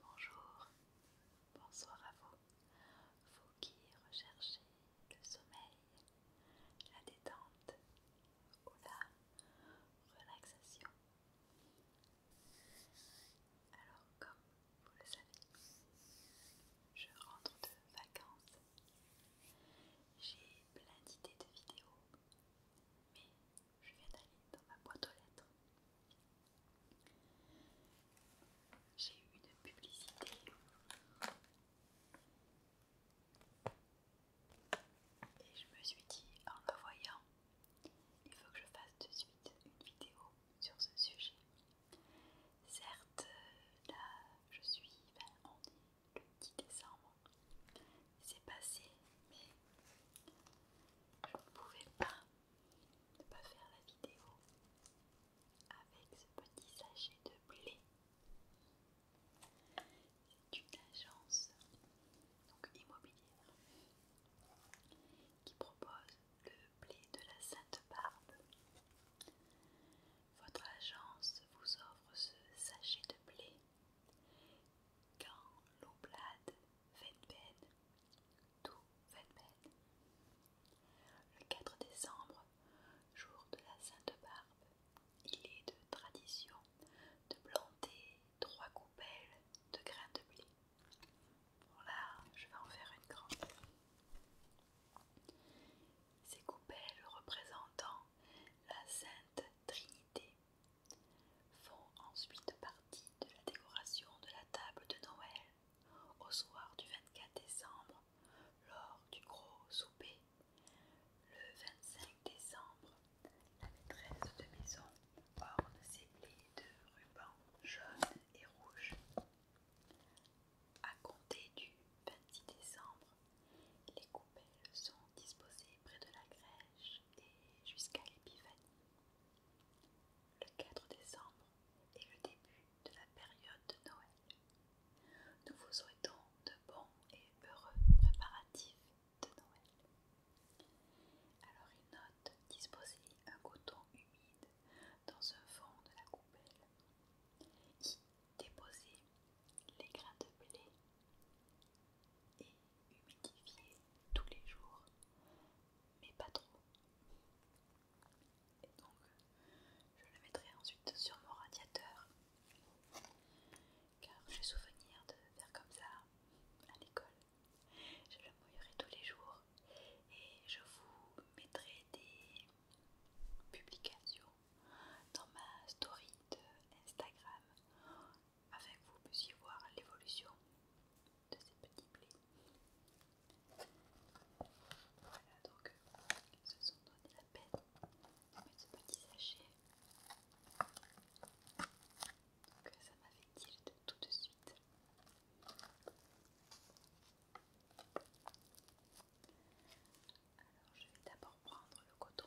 Bonjour, bonsoir à vous, vous qui recherchez le sommeil, la détente ou la relaxation. Alors, comme vous le savez. Je rentre de vacances. J'ai plein d'idées de vidéos, mais je viens d'aller dans ma boîte aux lettres. J'ai eu une publicité. Et je me suis dit en me voyant, il faut que je fasse de suite une vidéo sur ce sujet. Certes, là je suis, on ben, est le 10 décembre, c'est passé, mais je ne pouvais pas ne pas faire la vidéo avec ce petit sachet de blé. C'est une agence immobilière qui propose le blé de la Sainte-Barbe. Votre agence vous offre ce sachet de blé quand l'oblade peine tout Venben. Le 4 décembre, jour de la Sainte-Barbe, il est de tradition de planter trois coupelles de grains de blé. Bon là, je vais en faire une grande. Ces coupelles représentant la Sainte Trinité font ensuite partie de la décoration de la table de Noël au soir du 24 décembre lors du gros souper. Le 25 décembre, la maîtresse de maison orne ses plaies de rubans jaunes et rouges. À compter du 26 décembre, les coupelles sont disposées près de la crèche et jusqu'à l'épiphanie. Le 4 décembre est le début de la période de Noël. Nous vous souhaitons de bons et heureux préparatifs de Noël. Alors, une note disposez un coton humide dans un fond de la coupelle, y déposer les grains de blé et humidifier tous les jours, mais pas trop. Et donc, je le mettrai ensuite sur mon radiateur, car j'ai souvenir de faire comme ça à l'école. Je le mouillerai tous les jours et je vous mettrai des publication dans ma story de Instagram afin que vous puissiez voir l'évolution de ces petits blés. Voilà, donc ils se sont donné la peine de mettre ce petit sachet. Donc ça m'a fait tirer tout de suite. Alors je vais d'abord prendre le coton.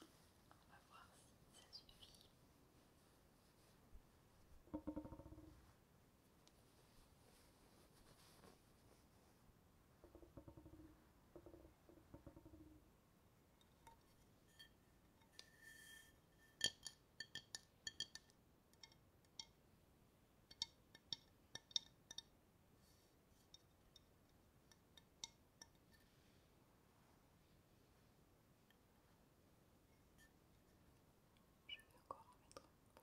On va voir si ça suffit. Je vais encore en mettre un peu.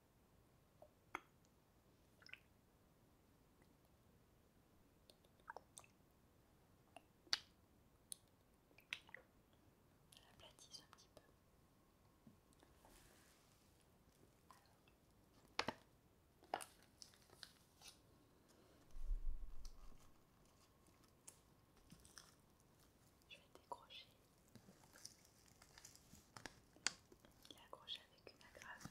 aplatisse un petit peu. Je vais décrocher. Il est accroché avec une agrafe.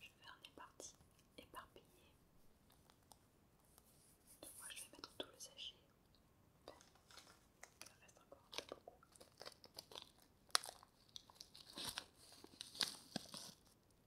Je vais faire des parties éparpillées. moi je vais mettre tout le sachet. il reste encore beaucoup.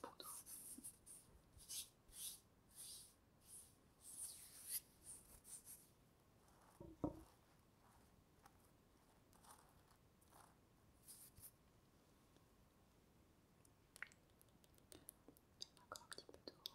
pour toi. Encore un petit peu d'eau.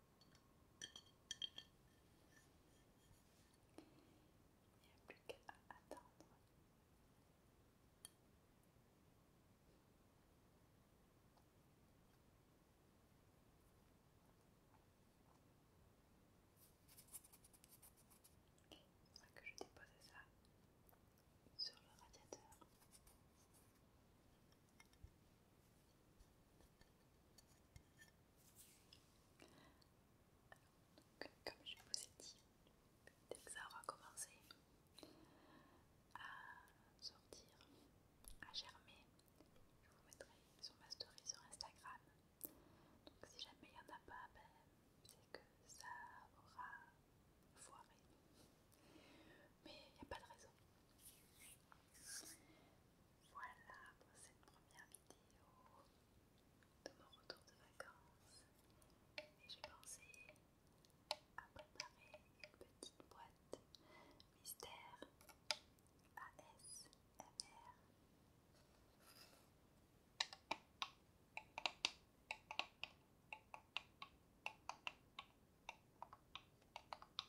Il n'y a plus qu'à attendre. que je dépose ça sur le radiateur comme je vous ai dit, dès que ça aura commencé à sortir, à germer, je vous mettrai sur ma story sur Instagram. Donc si jamais il n'y en a pas, ben, c'est que ça aura foiré. Mais il n'y a pas de raison. Voilà pour cette première vidéo de mon retour de vacances. Et j'ai pensé à préparer une petite boîte mystère ASMR.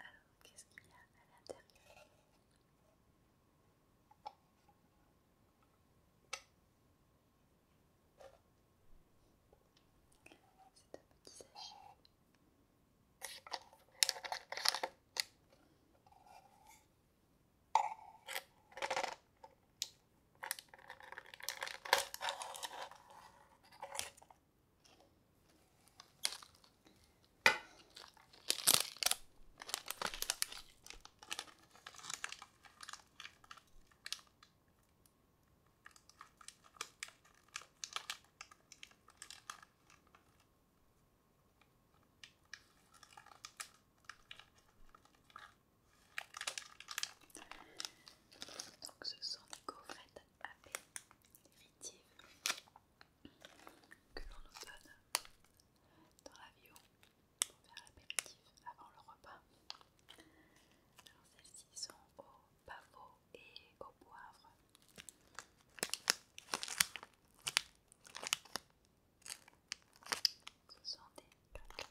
Alors, qu'est-ce qu'il y a à l'intérieur C'est un petit sachet. Donc ce sont des gaufrettes Apéritif que l'on nous donne dans la l'avion pour faire l'apéritif avant le repas. Alors celles-ci sont au pavot et au poivre. Ce sont des crackers.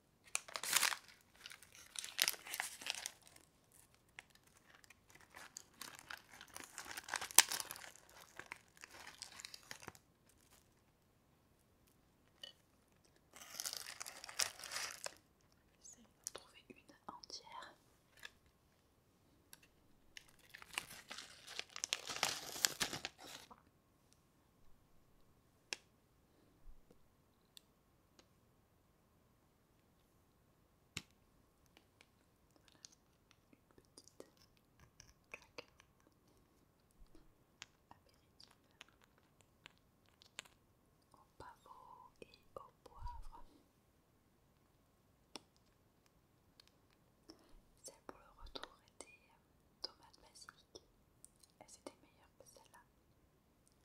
J'essaie de trouver une entière. Voilà, une petite claque apéritif au pavot et au poivre. Celle pour le retour était tomate basique. elle étaient meilleure que celle-là.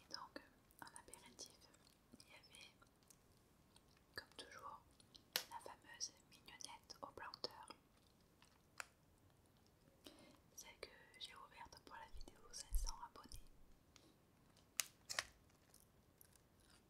Et donc, en apéritif, il y avait, comme toujours, la fameuse mignonnette au planteur. Celle que j'ai ouverte pour la vidéo 500 abonnés.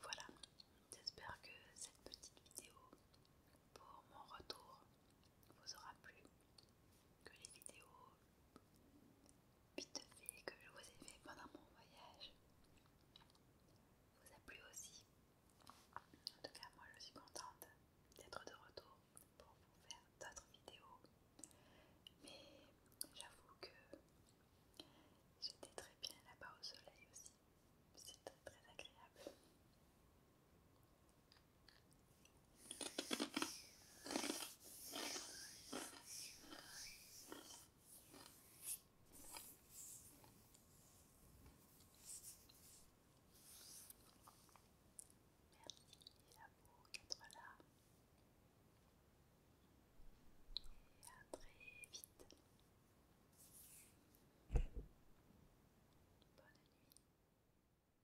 Voilà, j'espère que cette petite vidéo pour mon retour vous aura plu que les vidéos vite fait que je vous ai fait pendant mon voyage vous a plu aussi. En tout cas, moi je suis contente d'être de retour pour vous faire d'autres vidéos. Mais j'avoue que j'étais très bien là-bas au soleil aussi. C'était très agréable. Merci à vous d'être là, et à très vite. Bonne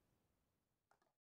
nuit.